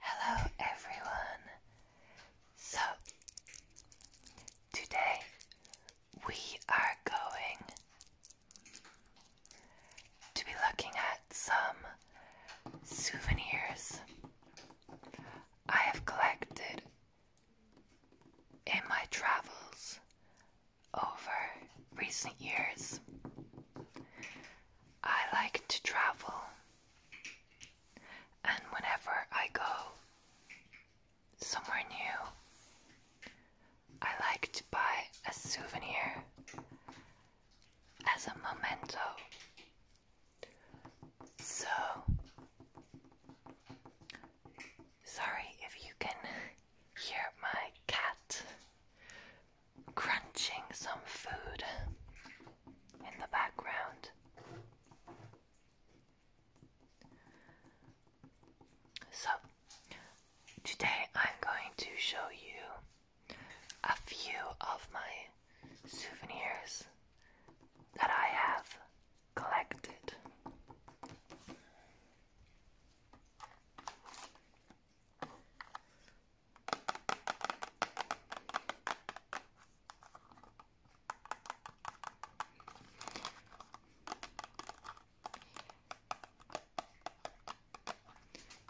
Hello everyone. So today we are going to be looking at some souvenirs I have collected in my travels over recent years, I like to travel, and whenever I go somewhere new, I like to buy a souvenir as a memento. So, Sorry if you can hear my cat crunching some food in the background. So, today I'm going to show you a few of my souvenirs that I have collected.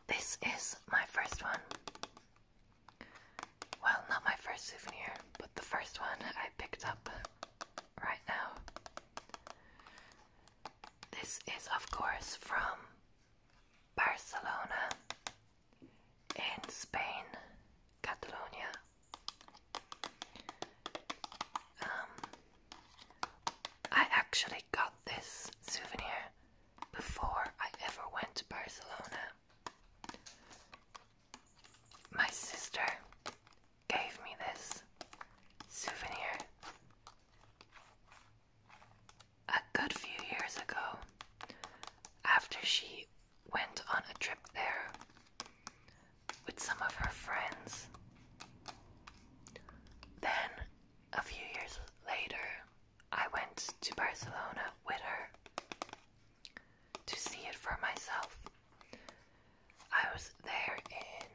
This is my first one. Well, not my first souvenir, but the first one I picked up right now. This is, of course, from Barcelona in Spain, Catalonia. Um, I actually got this souvenir before I ever went to Barcelona. My sister gave me this souvenir a good few years ago after she went on a trip there with some of her friends. Then, a few years later, I went to Barcelona with her to see it for myself. I was there in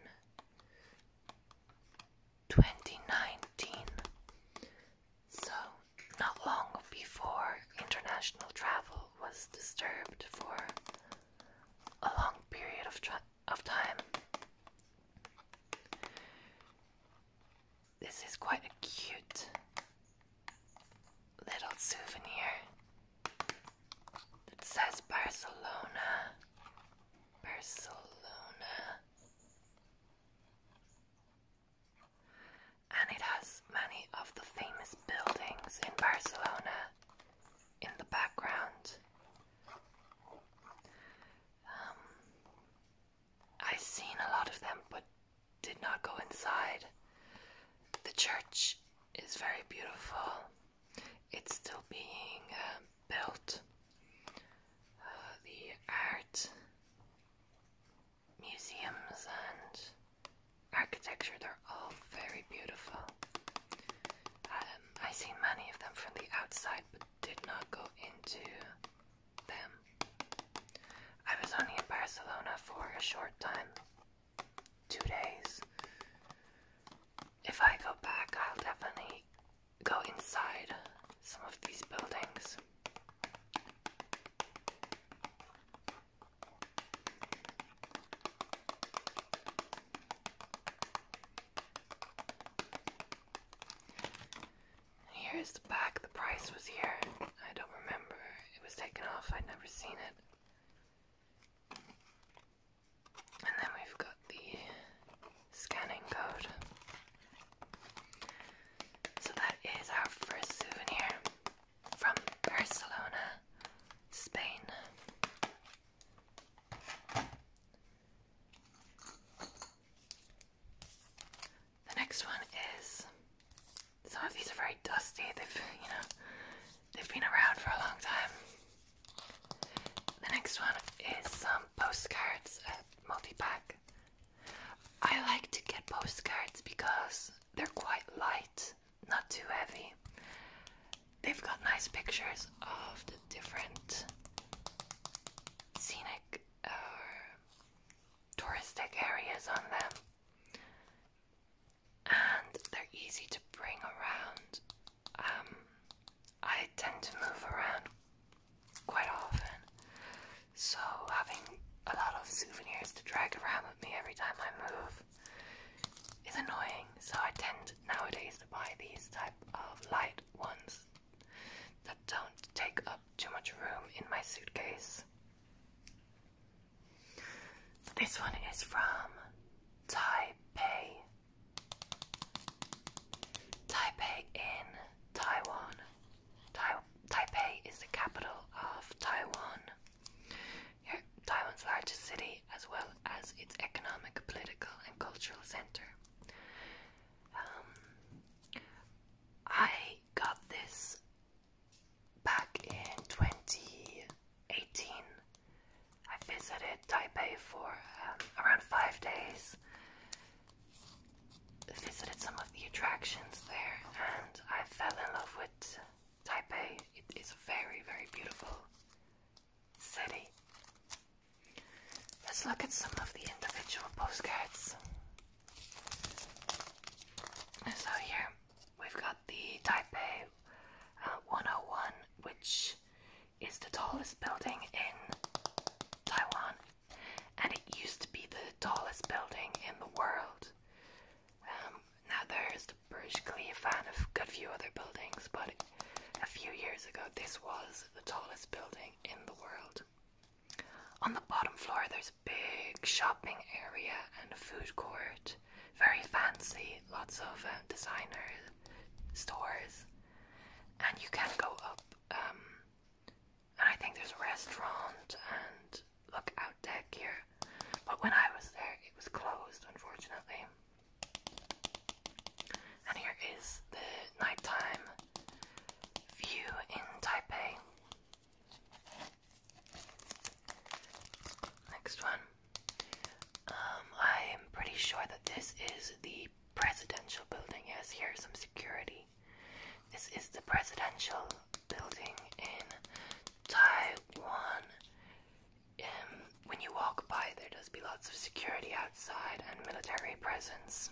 2019, so not long before international travel was disturbed for a long period of, time. This is quite a cute little souvenir. It says Barcelona. Barcelona. And it has many of the famous buildings in Barcelona in the background. Um, I've seen a lot of them but did not go inside. The church is very beautiful it's still being uh, built. Uh, the art museums and architecture, they're all very beautiful. Um, I seen many of them from the outside, but did not go into them. I was only in Barcelona for a short time, two days, if I go back, I'll definitely go inside some of these buildings. Here's the back, the price was here. I don't remember. It was taken off, I'd never seen it. And then we've got the scanning code. So that is our first souvenir from Barcelona, Spain. The next one is some of these are very dusty. They've you know They've been around for a long time. The next one is some postcards at multi-pack. I like to get postcards because they're quite light, not too heavy. They've got nice pictures of the different scenic or touristic areas on them and they're easy to bring around. Um, I tend to move around quite often, so having a lot of souvenirs to drag around with me every time I move is annoying. So I tend nowadays to buy these type of light ones that don't take up too much room in my suitcase. This one is from Taipei Taipei in Taiwan. Taipei is the capital of Taiwan. Taiwan's largest city, as well as its economic, political, and cultural center. Um, I got this back in 20 18, I visited Taipei for um, around five days. Visited some of the attractions there, and I fell in love with Taipei. It is a very, very beautiful city. Let's look at some of the individual postcards. So, here we've got the Taipei 101, uh, which is the tallest building in Taiwan, and it used to be the tallest building in the world. Um, now there's the Burj Khalifa and a good few other buildings, but a few years ago this was the tallest building in the world. On the bottom floor, there's a big shopping area and food court. Very fancy, lots of uh, designers stores, and you can go up. Um, and I think there's a restaurant and look out deck here. But when I was there, it was closed, unfortunately. And here is the nighttime view in Taipei. Next one. Um, I'm pretty sure that this is the presidential building. Yes, here's some security. This is the presidential building in Taiwan. Um, when you walk by, there does be lots of security outside and military presence.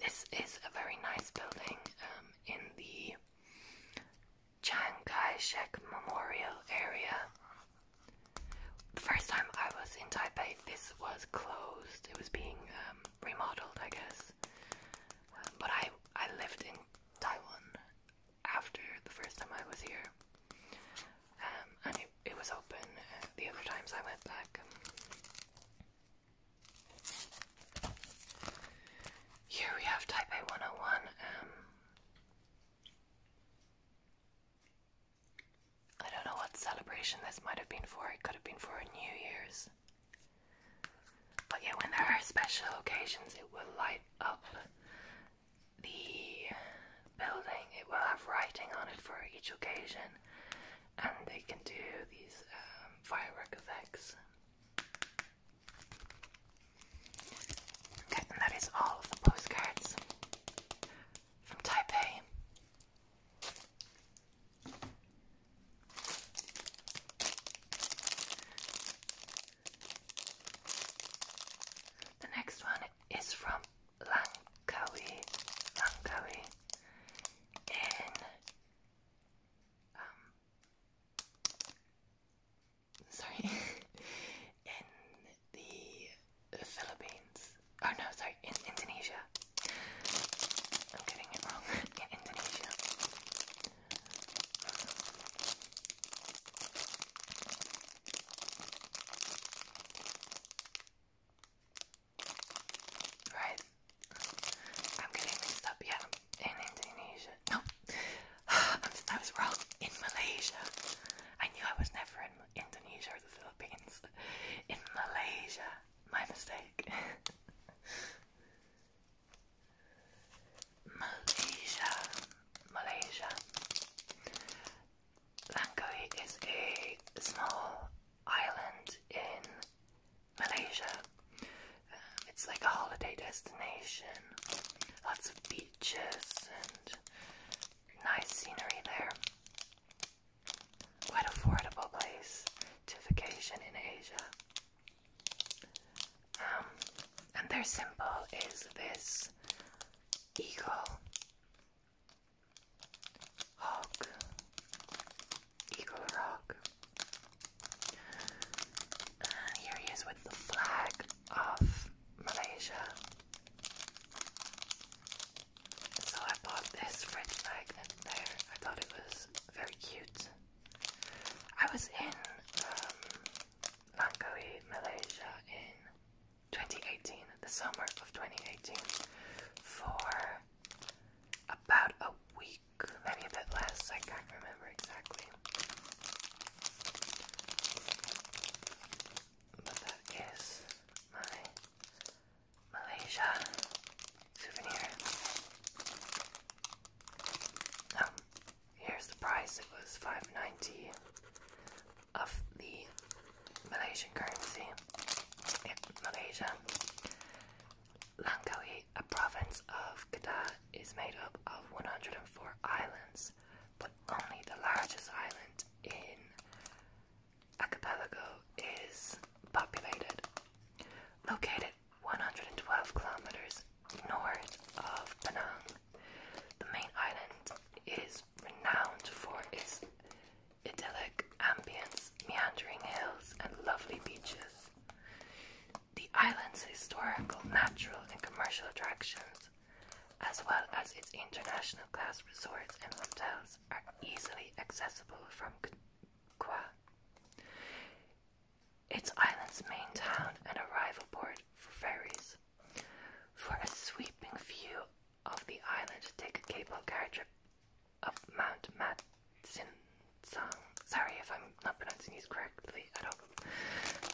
This is a very nice building um, in the Chiang Kai shek Memorial area. The first time I was in Taipei, this was closed. It was being um, remodeled, I guess. Um, but I, I lived in Taiwan after the first time I was here. and it, was open uh, the other times I went back. Here we have Taipei 101. Um, I don't know what celebration this might have been for. It could have been for New Year's. But yeah, when there are special occasions, it will light up the building. It will have writing on it for each occasion and um, they can do these um, fireworks. effects. Okay, and that is all the postcards from Taipei. The next one is from Langkawi, Langkawi in um, sorry, in the Philippines. Oh no, sorry, in Indonesia. I'm getting it wrong. in Indonesia. Right? I'm getting mixed up, yeah. In Indonesia. No. i was wrong. In Malaysia. I knew I was never in Indonesia or the Philippines. In Malaysia. My mistake. Malaysia. Malaysia. Langkawi is a small island in Malaysia. Um, it's like a holiday destination, lots of beaches and nice scenery there. Quite affordable place to vacation in Asia. Um, and their symbol is this eagle. Hawk, Eagle Rock. here he is with the flag of Malaysia. So I bought this fridge magnet there. I thought it was very cute. I was in um, Langkawi, Malaysia in 2018, the summer of 2018, for about a week, maybe a bit less. I can't remember exactly. But that is my Malaysia souvenir. Now, here's the price. It was five ninety of the Malaysian currency. Malaysia. Langkawi, a province of Kedah, is made up of 104 islands, but only the largest island in Archipelago is populated. Located 112 kilometers north of Penang, the main island is renowned for its idyllic ambience, meandering hills, and lovely beaches. The island's historical, natural, and commercial attractions, as well as its international class resorts and hotels, are easily accessible from Qua. It's island's main town and arrival port for ferries. For a sweeping view of the island to take a cable car trip up Mount Matsing. Sorry if I'm not pronouncing these correctly I don't,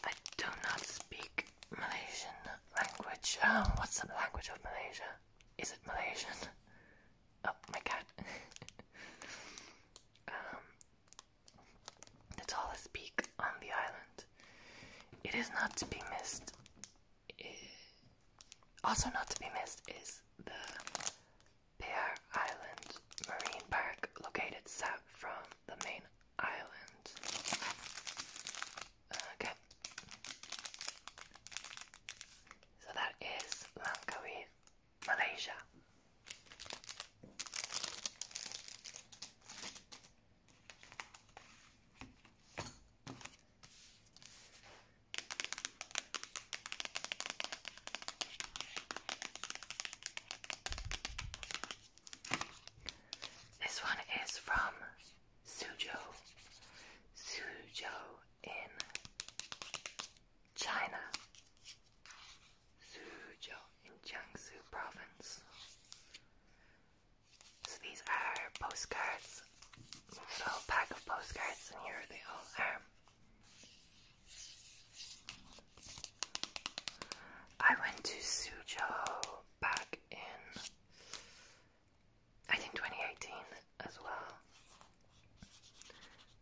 I do not speak Malaysian language. Oh, what's the language of Malaysia? Is it Malaysian? Oh my cat. um, that's all I on the island. It is not to be missed uh, also not to be missed is the Bear Island Marine Park, located south from the main island. Uh, okay. So that is Langkawi, Malaysia. This one is from Suzhou, Suzhou in China, Suzhou in Jiangsu province. So these are postcards little pack of postcards, and here they all are. I went to Suzhou back in, I think, 2018 as well.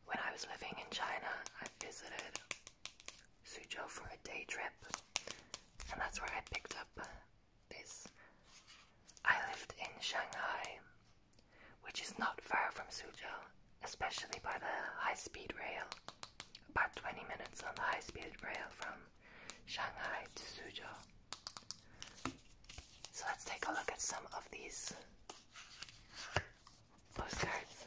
When I was living in China, I visited Suzhou for a day trip, and that's where I picked up this. I lived in Shanghai, which is not far from Suzhou, especially by the high speed rail. About 20 minutes on the high speed rail from Shanghai to Suzhou. So let's take a look at some of these postcards.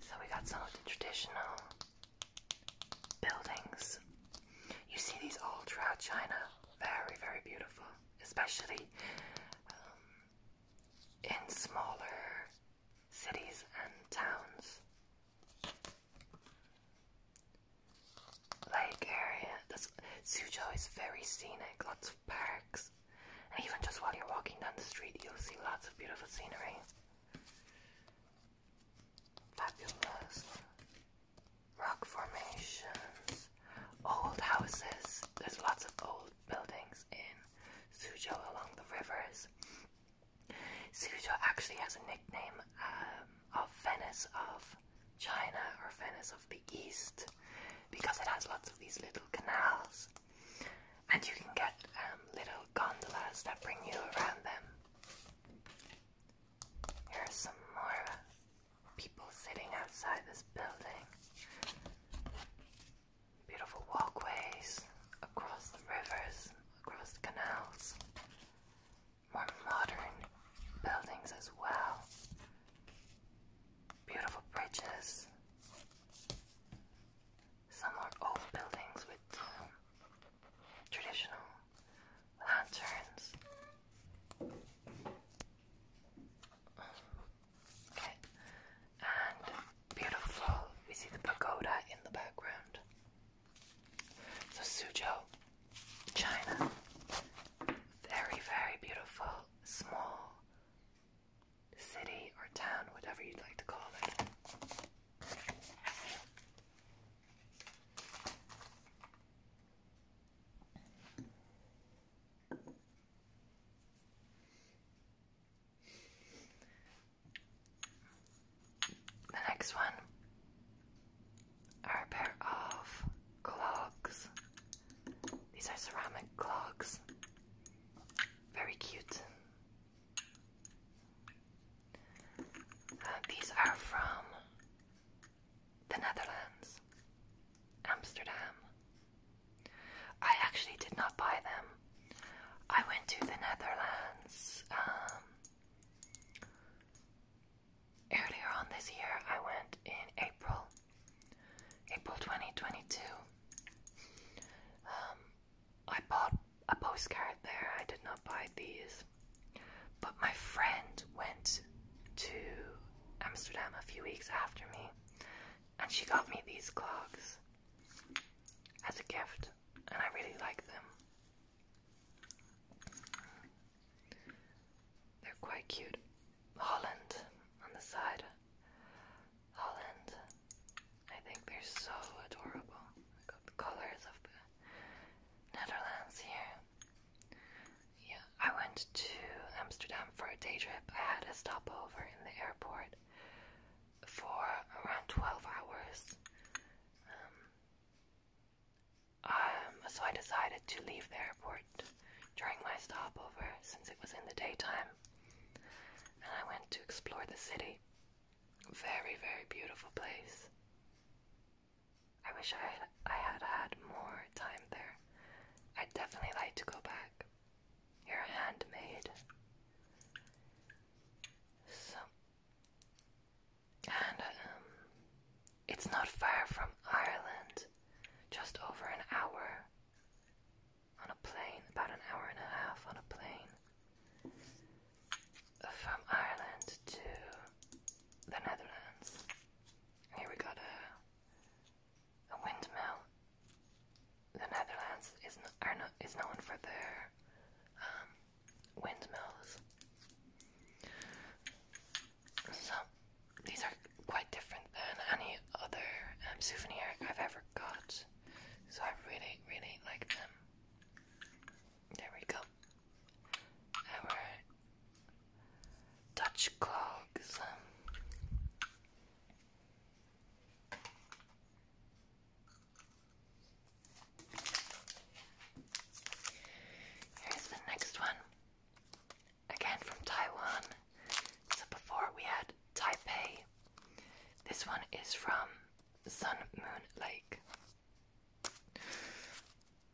So we got some of the traditional buildings. You see these all throughout China. Very, very beautiful, especially um, in smaller cities and towns. Lake area. this Suzhou is very scenic, lots of parks. And even just while you're walking down the street, you'll see lots of beautiful scenery. Fabulous rock formations, old houses. There's lots of old buildings in Suzhou along the rivers. Suzhou actually has a nickname um, of Venice of China or Venice of the East because it has lots of these little canals and you can get um, little gondolas that bring you around them. Here are some more people sitting outside this building. Beautiful walkways across the rivers, across the canals. More modern buildings as well. Beautiful bridges some old buildings with um, traditional lanterns. Okay, and beautiful. We see the pagoda in the background. So Suzhou, China. Very, very beautiful, small city or town, whatever you'd like to call it. The next one a pair of clogs. These are ceramic clogs. Very cute these are from the Netherlands, Amsterdam. I actually did not buy them. I went to the Netherlands um, earlier on this year. I went in April, April 2022. Um, I bought a postcard there. I did not buy these. But my friend went to Amsterdam a few weeks after me and she got me these clogs as a gift and I really like them. They're quite cute. Holland on the side. Holland. I think they're so adorable. got the colors of the Netherlands here. Yeah, I went to Amsterdam for a day trip. I had a stopover in the airport for around 12 hours. Um, um, so I decided to leave the airport during my stopover since it was in the daytime. And I went to explore the city. Very, very beautiful place. I wish I had, I had had more time there. i definitely like to go back. You're handmade. So, and um, it's not far from Ireland, just over an hour on a plane, about an hour and a half on a plane from Ireland to the Netherlands. Here we got a, a windmill. The Netherlands is, is known for their um, windmills. So, these are quite different than any other um, souvenir I've ever got. So I really, really like them. There we go. Our Dutch clogs. Um, here's the next one. Again from Taiwan. So before we had Taipei. This one is from Sun Moon Lake.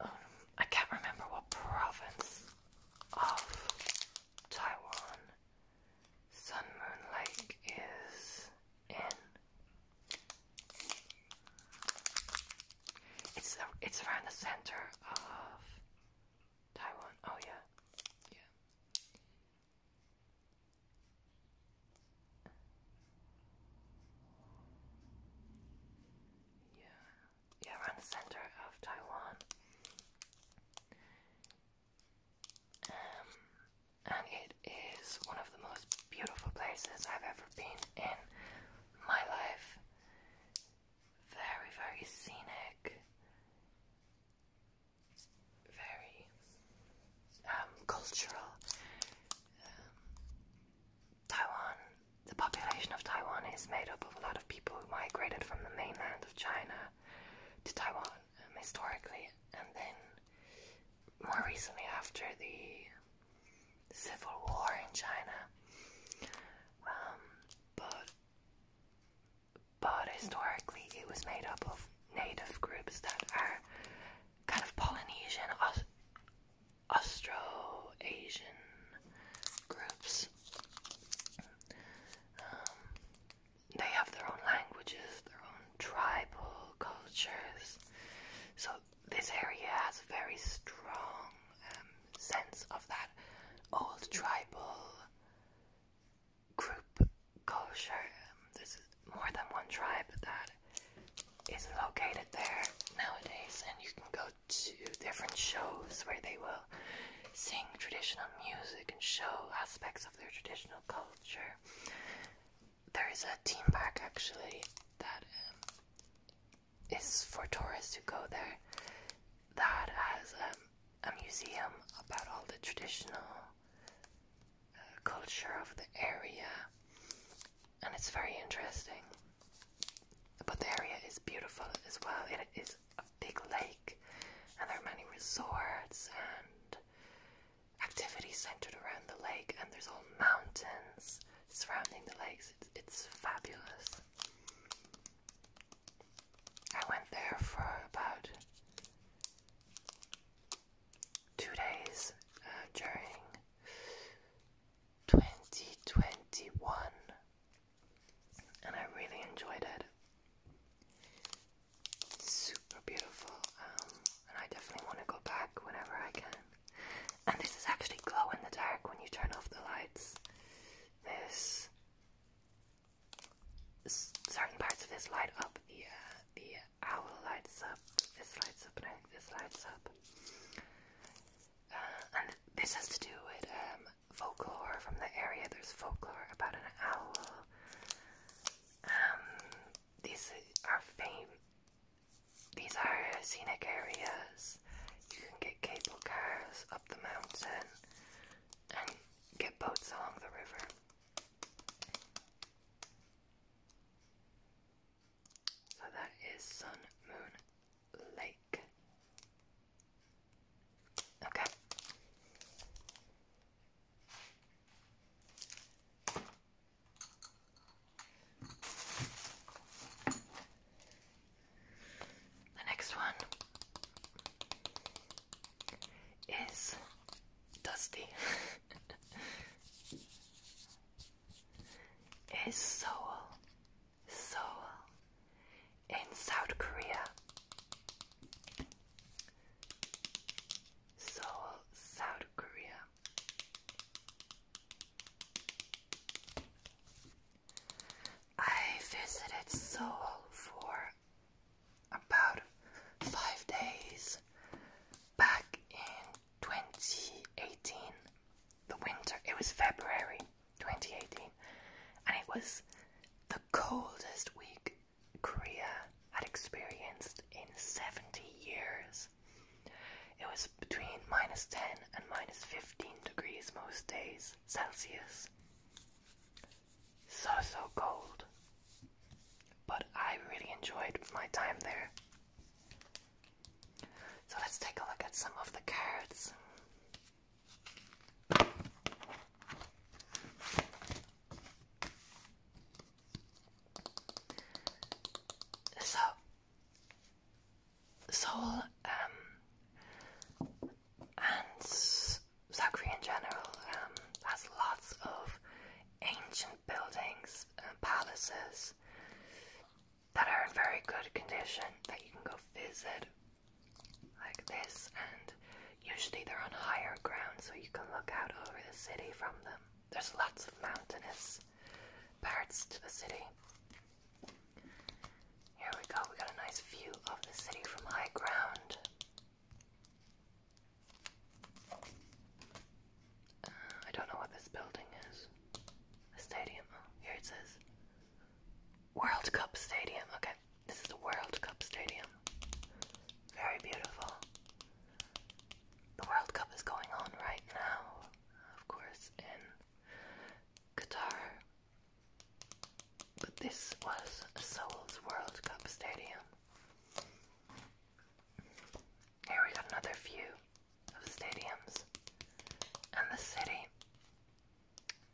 Um, I can't remember what province of Taiwan Sun Moon Lake is in. It's uh, it's around the center of Taiwan. Oh yeah, yeah. Yeah, yeah, around the center of Taiwan. Um, and it is one of the most beautiful places I've ever been in my life. Very, very scenic very um, cultural. Um, Taiwan, the population of Taiwan is made up of a lot of people who migrated from the mainland of China to Taiwan um, historically, and then more recently after the Civil War in China. but but historically it was made up of native groups that are kind of Polynesian, Austro-Asian groups. Um, they have their own languages, their own tribal cultures. So this area has a very strong um, sense of that old tribal group culture. Um, there's more than one tribe that is located there nowadays, and you can go to different shows where they will sing traditional music and show aspects of their traditional culture. There is a theme park actually that um, is for tourists to go there that has um, a museum about all the traditional culture of the area, and it's very interesting. But the area is beautiful as well. It is a big lake, and there are many resorts and activities centered around the lake. And there's all mountains surrounding the lakes. it's fabulous. I went there for about two days uh, during 2021 and I really enjoyed it. Super beautiful, um, and I definitely want to go back whenever I can. And this is actually glow in the dark when you turn off the lights. This certain parts of this light up. The the owl lights up. This lights up, and this lights up. Uh, and this has to do with um, folklore from the area. There's folklore about an owl. Um, these are fame. These are scenic areas. You can get cable cars up the mountain and get boats along the river. So that is Sun Moon Lake. Okay. The next one is dusty. is Seoul, Seoul in South Korea. Seoul, South Korea. I visited Seoul for about five days back in 2018. The winter, it was February 2018, and it was the coldest week Korea had experienced in 70 years. It was between minus 10 and minus 15 degrees most days Celsius so so cold. But I really enjoyed my time there. So let's take a look at some of the cards. So, Seoul um, and South in general um, has lots of ancient buildings and uh, palaces that are in very good condition that you can go visit like this and usually they're on higher ground so you can look out over the city from them. There's lots of mountainous parts to the city. Here we go, we got a nice view of the city from high ground. Uh, I don't know what this building is. A stadium. Oh, here it says World Cup Stadium. Okay, this is the World Cup Stadium. Very beautiful. The World Cup is going on right now, of course, in Qatar. But this was Seoul's World Cup Stadium. Here we got another view of stadiums and the city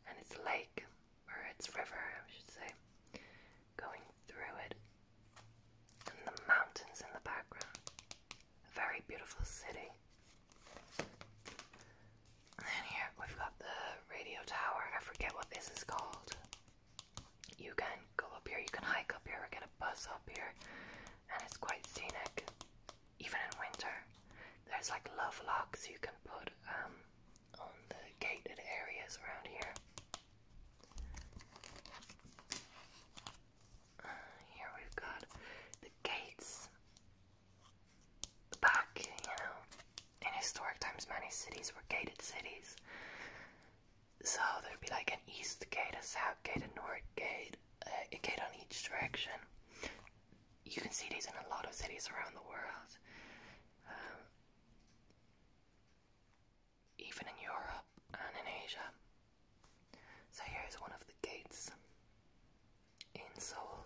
and its lake, or its river, I should say, going through it, and the mountains in the background. A very beautiful city. And here we've got the radio tower. I forget what this is called you can go up here, you can hike up here or get a bus up here, and it's quite scenic. Even in winter, there's like love locks you can put um, on the gated areas around here. Uh, here we've got the gates, the back, you know, in historic times, many cities were gated cities. So there'd be like an east gate, a south gate, a north gate, uh, a gate on each direction. You can see these in a lot of cities around the world, um, even in Europe and in Asia. So here's one of the gates in Seoul.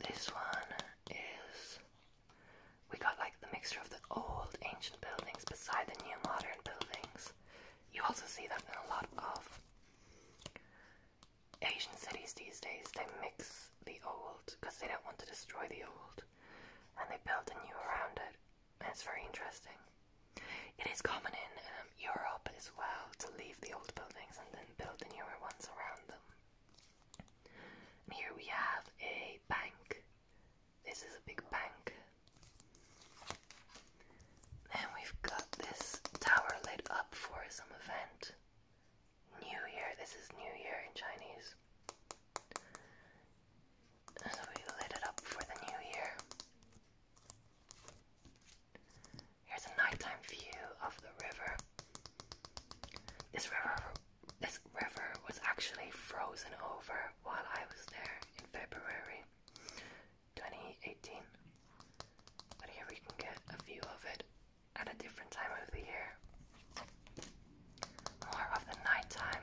This one is. We got like the mixture of the old ancient buildings beside the new modern buildings. You also see that in a lot of Asian cities these days. They mix the old because they don't want to destroy the old and they build the new around it. And it's very interesting. It is common in um, Europe as well to leave the old buildings and then build the newer ones around them. here we have a bank. This is a big bank. And we've got this tower lit up for some event. New Year, this is New Year in Chinese. So we lit it up for the New Year. Here's a nighttime view of the river. This river, this river was actually frozen over while I was there in February 2018. But here we can get a view of it at a different time of the year. More of the nighttime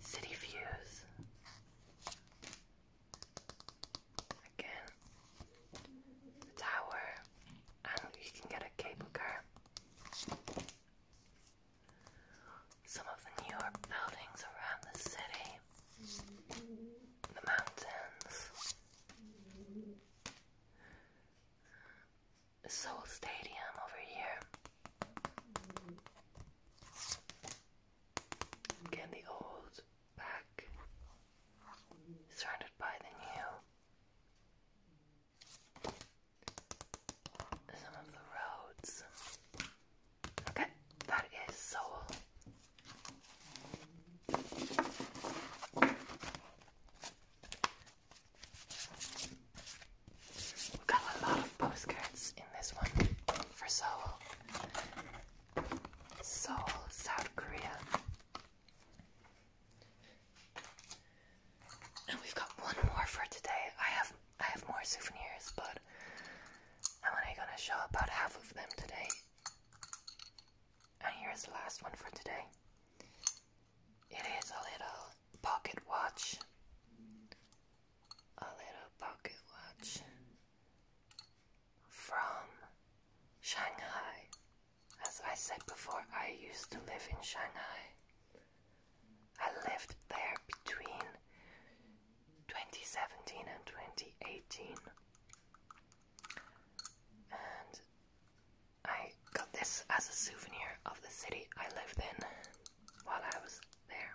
city views. Again, the tower, and you can get a cable car. Some of the newer buildings around the city, the mountains, the Seoul Stadium over here. Again, the old back surrounded by the new. Some of the roads. Okay, that is soul. got a lot of postcards in this one for soul. Seoul, South Korea. And we've got one more for today. I have I have more souvenirs, but I'm only gonna show about half of them today. And here's the last one for today. It is a little pocket watch. A little pocket watch from Shanghai. As I said before, I used to live in Shanghai. I lived there between 2017 and 2018. And I got this as a souvenir of the city I lived in while I was there.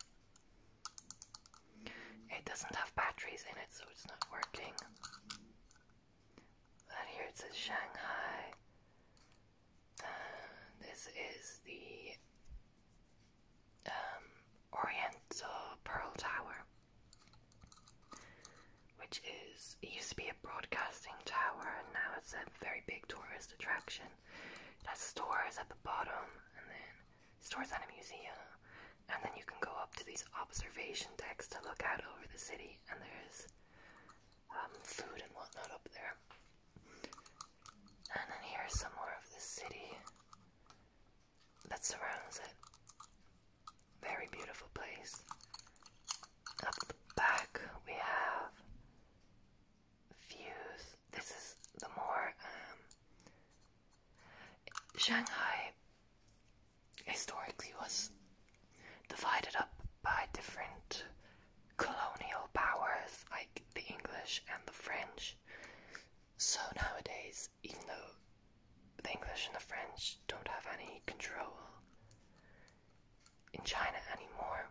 It doesn't have batteries in it, so it's not working. But here it says Shanghai. this is the um, Oriental Pearl Tower, which is used to be a broadcasting tower, and now it's a very big tourist attraction. It has stores at the bottom, and then stores at a museum, and then you can go up to these observation decks to look out over the city, and there's um, food and whatnot up there. And then here's some more of the city that surrounds it. Very beautiful place. Up the back, we have views. This is the more um, Shanghai historically was divided up by different colonial powers like the English and the French. So nowadays, even though the English and the French don't have any control in China anymore,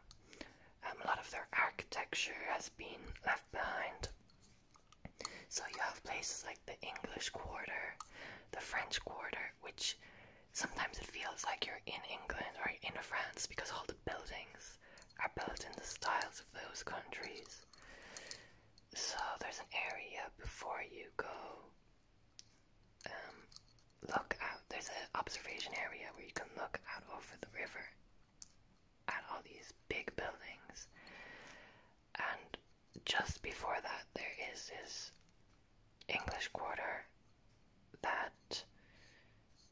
um, a lot of their architecture has been left behind so you have places like the English Quarter, the French Quarter, which sometimes it feels like you're in England or in France because all the buildings are built in the styles of those countries. So there's an area before you go. Um, look out. There's an observation area where you can look out over the river at all these big buildings. And just before that, there is this English quarter that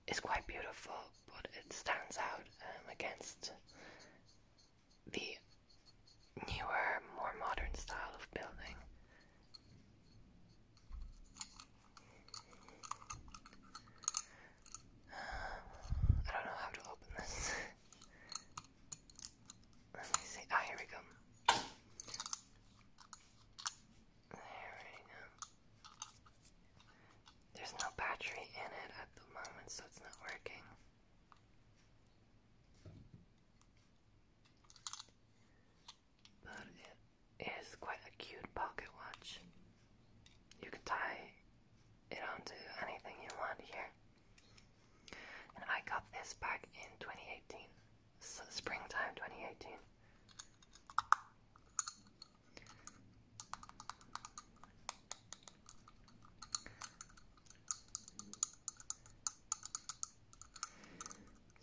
is quite beautiful, but it stands out um, against the newer, more modern style of building. I don't know how to open this. Let me see. Ah, here we go. There we go. There's no battery in it at the moment, so it's not working. But it is quite a cute pocket watch. You can tie it onto anything you want here. And I got this back in 2018, springtime 2018.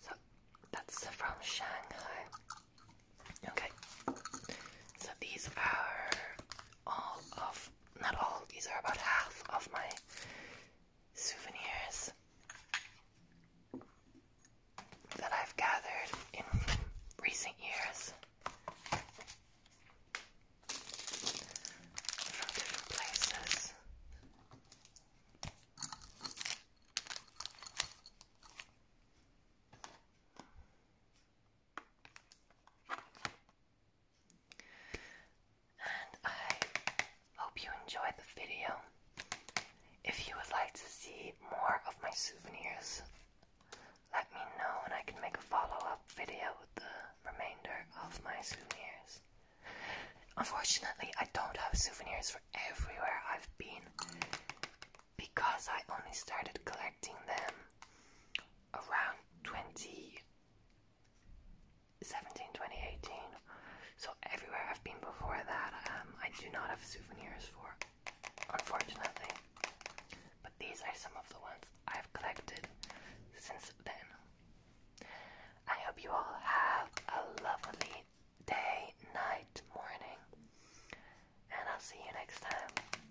So that's from Shanghai. Okay, so these are all of not all, these are about half of my souvenirs that I've gathered in recent years from different places. And I hope you enjoyed the video. If you would like to see more of my souvenirs, let me know and I can make a follow-up video with the remainder of my souvenirs. Unfortunately, I don't have souvenirs for everywhere I've been because I only started collecting them around 2017, 2018. So everywhere I've been before that, um, I do not have souvenirs for, unfortunately. But these are some of the ones I've collected since then. I hope you all have a lovely day, night, morning, and I'll see you next time.